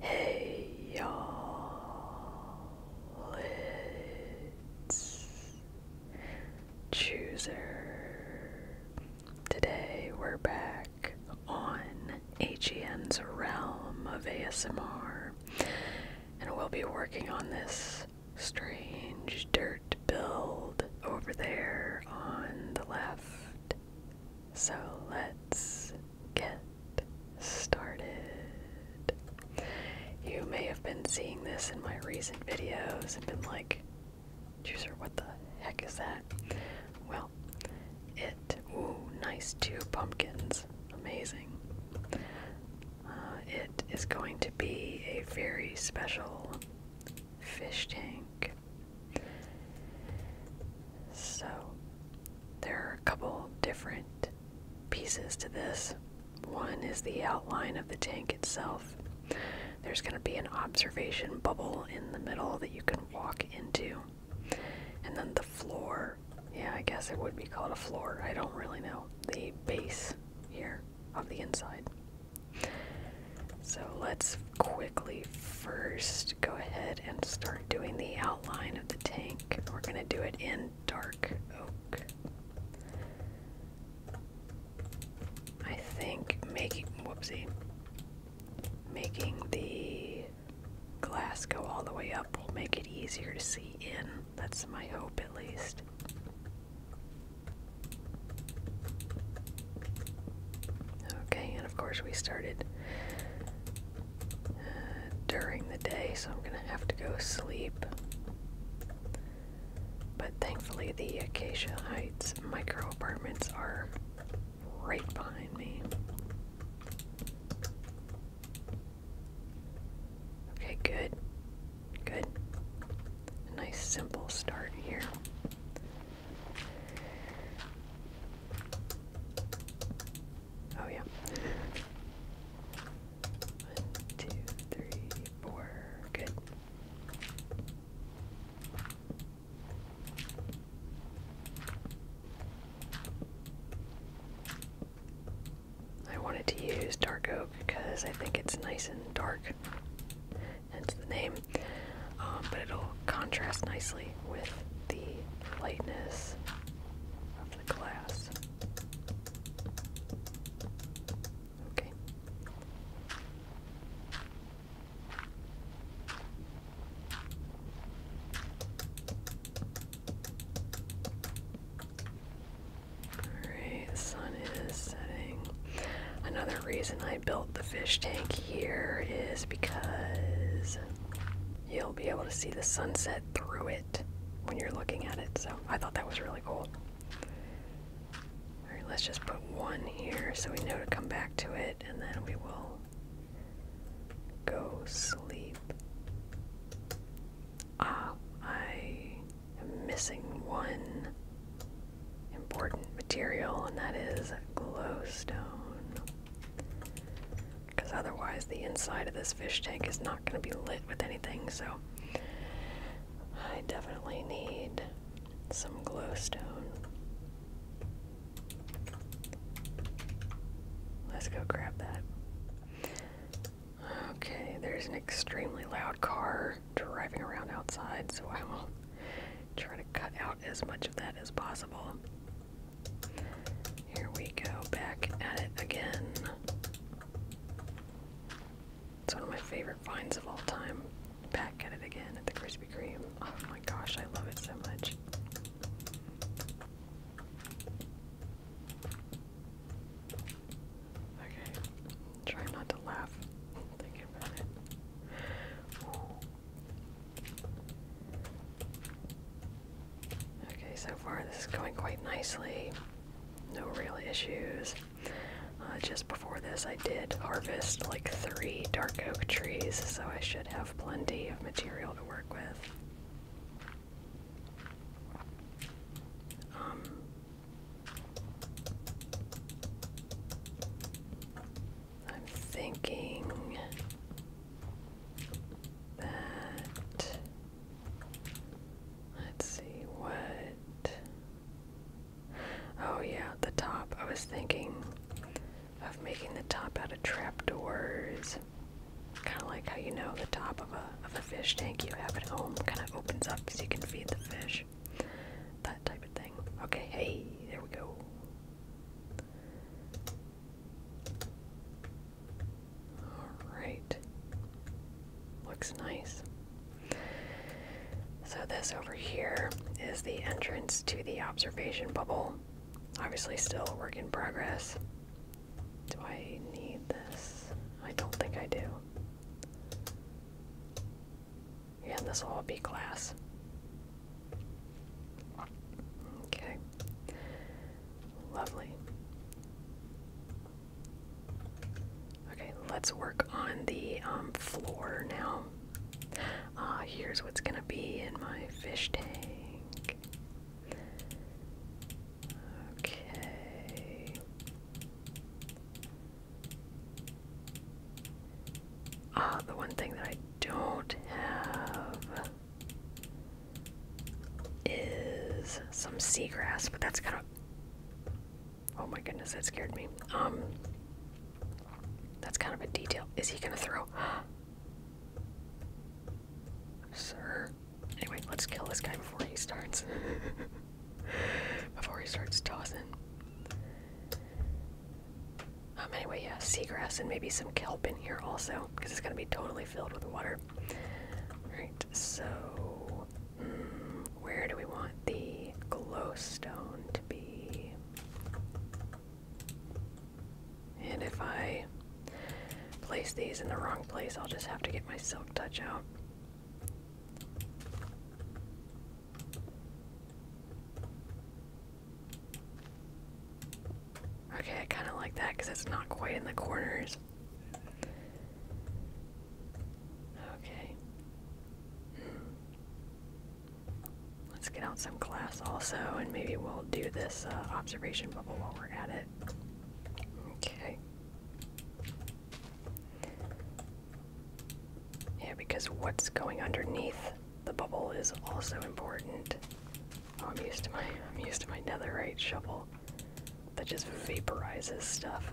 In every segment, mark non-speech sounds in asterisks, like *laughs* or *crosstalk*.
Hey y'all, it's Chooser. Today we're back on HEN's realm of ASMR, and we'll be working on this strange dirt build over there on the left. So let's get started. You may have been seeing this in my recent videos and been like, Juicer, what the heck is that? Well, it, ooh, nice two pumpkins, amazing. Uh, it is going to be a very special fish tank so, there are a couple different pieces to this. One is the outline of the tank itself. There's going to be an observation bubble in the middle that you can walk into. And then the floor. Yeah, I guess it would be called a floor. I don't really know. The base here of the inside. So let's quickly first go ahead and start doing the outline of the tank. We're going to do it in dark oak. I think making, whoopsie, making the glass go all the way up will make it easier to see in. That's my hope at least. Okay, and of course we started uh, during the day, so I'm gonna have to go sleep. But thankfully, the Acacia Heights micro apartments are right behind me. Okay, good. Good. nice simple start here. Oh, yeah. One, two, three, four. Good. I wanted to use dark oak because I think it's nice and dark hence the name. Um, but it'll contrast nicely with the lightness of the glass. Okay. Alright, the sun is setting. Another reason built the fish tank here is because you'll be able to see the sunset through it when you're looking at it. So I thought that was really cool. Alright, let's just put one here so we know to come back to it and then we will go sleep. Ah, I am missing one important material, and that is glowstone. Because otherwise, the inside of this fish tank is not going to be lit with anything, so I definitely need some glowstone. Let's go grab that. Okay, there's an extremely loud car driving around outside, so I will try to cut out as much of that as possible. Here we go, back at it again. It's one of my favorite finds of all time. Back at it again at the Krispy Kreme. Oh my gosh, I love it so much. Okay. Try not to laugh. Thinking about it. Okay, so far this is going quite nicely. No real issues. Uh, just before this, I did harvest like three dark oak trees, so I should have plenty of material to work with. Um, I'm thinking that let's see what oh yeah the top I was thinking of making the top out of trapdoors kind of like how you know the top of a of a fish tank you have at home kind of opens up so you can feed the fish that type of thing. Okay, hey, there we go. Alright. Looks nice. So, this over here is the entrance to the observation bubble. Obviously, still a work in progress. Do I need this? I don't think I do. Yeah, this will all be glass. Okay. Lovely. Okay, let's work on the um, floor now. Uh, here's what's gonna be in my fish tank. Okay. Ah, the one thing that I don't have is some seagrass, but that's kind of. Oh my goodness, that scared me. Um, that's kind of a detail. Is he gonna throw? *gasps* Sir, Anyway, let's kill this guy before he starts. *laughs* before he starts tossing. Um, anyway, yeah, seagrass and maybe some kelp in here also, because it's going to be totally filled with water. Right. so mm, where do we want the glowstone to be? And if I place these in the wrong place, I'll just have to get my silk touch out. Okay, I kind of like that because it's not quite in the corners. Okay. Hmm. Let's get out some glass also, and maybe we'll do this uh, observation bubble while we're at it. Okay. Yeah, because what's going underneath the bubble is also important. Oh, I'm used to my I'm used to my netherite shovel that just vaporizes stuff.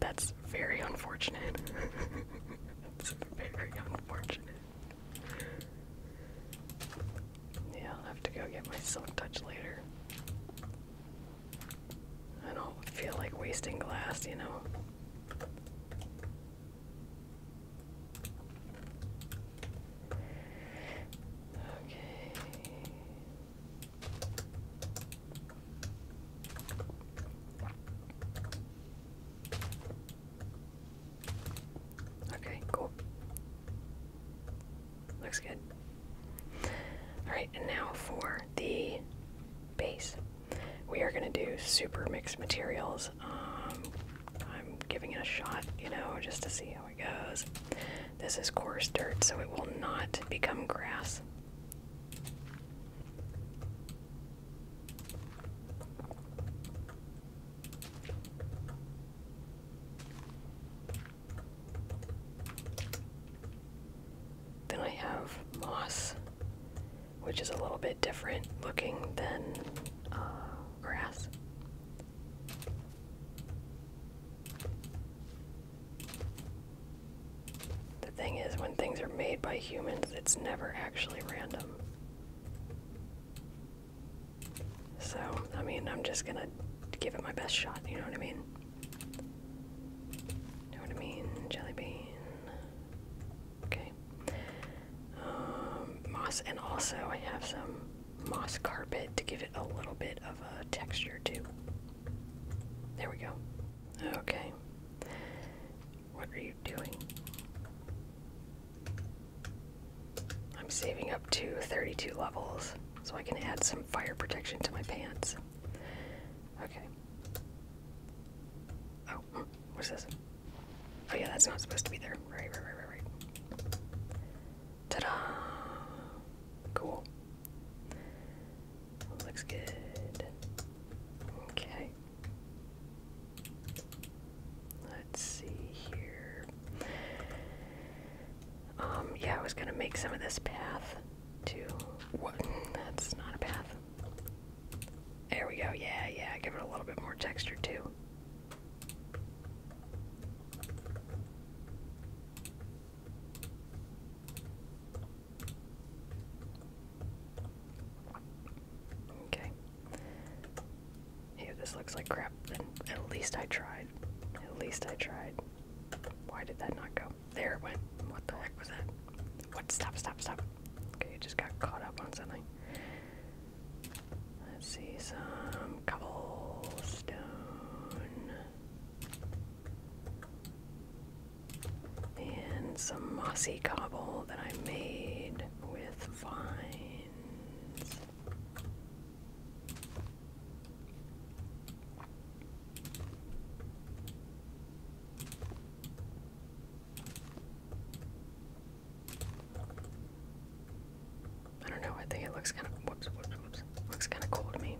That's very unfortunate. *laughs* That's very unfortunate. Yeah, I'll have to go get my silk touch later. I don't feel like wasting glass, you know. Okay. Okay, cool. Looks good. Alright, and now for the base. We are going to do super mixed materials. Um, I'm giving it a shot, you know, just to see how it goes. This is coarse dirt, so it will not become grass. Then I have moss, which is a little bit different looking than uh, grass. The thing is, when things are made by humans, it's never actually random. So, I mean, I'm just gonna give it my best shot, you know what I mean? You know what I mean? Jelly bean. Okay. Um, moss, and also I have some moss carpet to give it a little bit of a texture, too. There we go. Okay. What are you doing? I'm saving up to 32 levels so I can add some fire protection to my pants. Okay. Oh, what's this? Oh, yeah, that's not supposed to be there. Right, right, right, right, right. Ta da! Cool. Looks good. Okay. Let's see here. Um, yeah, I was gonna make some of this path too. What? That's not a path. There we go. Yeah, yeah. Give it a little bit more texture too. Okay. If this looks like crap, at least I tried. At least I tried. Why did that not go? There it went. What the heck was that? What? Stop, stop, stop. Okay, it just got caught up on something. Let's see, some cobblestone and some mossy cobble that I made with vines. I don't know. I think it looks kind of whoops, whoops, whoops. Looks kind of cool to me.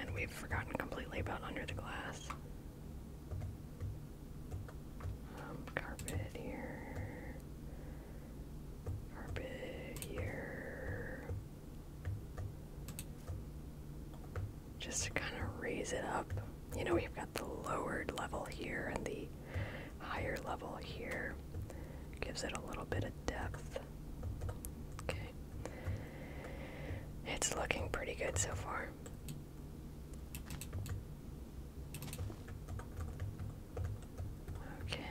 And we've forgotten completely about under the glass. Um, carpet here. Carpet here. Just to kind of raise it up. You know, we've got the lowered level here and the higher level here. Gives it a little bit of depth. Okay, it's looking pretty good so far. Okay.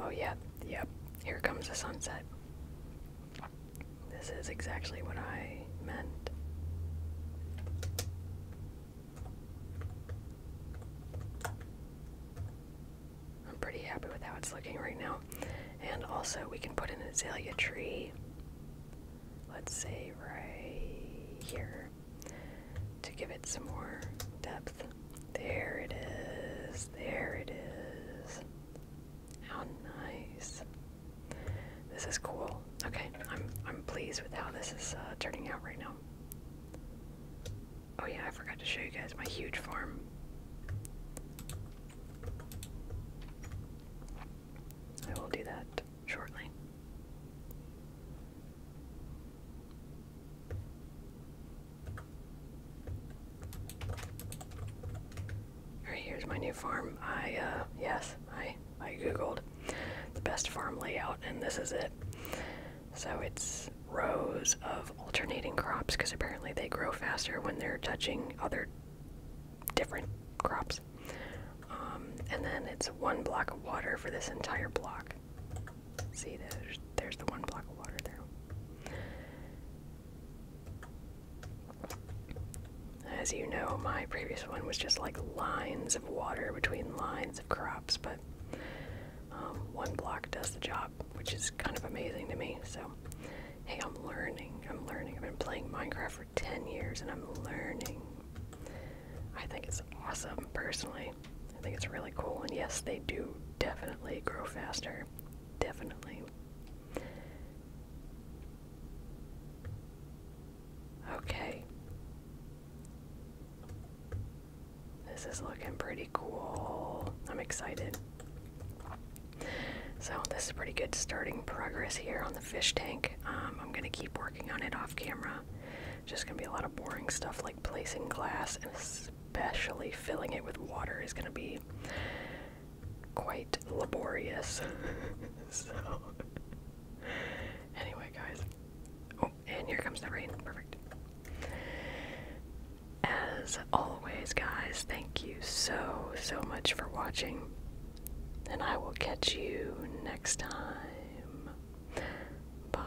Oh, yeah, yep. Here comes the sunset. This is exactly what I meant. I'm pretty happy with how it's looking right now. And also, we can put an azalea tree, let's say right here, to give it some more depth. There it is. There it is. How nice. This is cool. Okay, I'm I'm pleased with how this is uh, turning out right now. Oh yeah, I forgot to show you guys my huge farm. I will do that shortly. Alright, here's my new farm. I, uh, yes, I I googled the best farm layout, and this is it. So it's rows of alternating crops because apparently they grow faster when they're touching other different crops. Um, and then it's one block of water for this entire block. See, there's, there's the one block of water there. As you know, my previous one was just like lines of water between lines of crops, but um, one block does the job, which is kind of amazing to me. So, hey, I'm learning. I'm learning. I've been playing Minecraft for 10 years and I'm learning. I think it's awesome, personally. I think it's really cool. And yes, they do definitely grow faster. Definitely. Okay. This is looking pretty cool. I'm excited. So, this is pretty good starting progress here on the fish tank. Um, I'm going to keep working on it off camera. Just going to be a lot of boring stuff like placing glass and especially filling it with water is going to be quite laborious. *laughs* so, Anyway, guys. Oh, and here comes the rain. Perfect. As always, guys, thank you so, so much for watching. And I will catch you next time. Bye.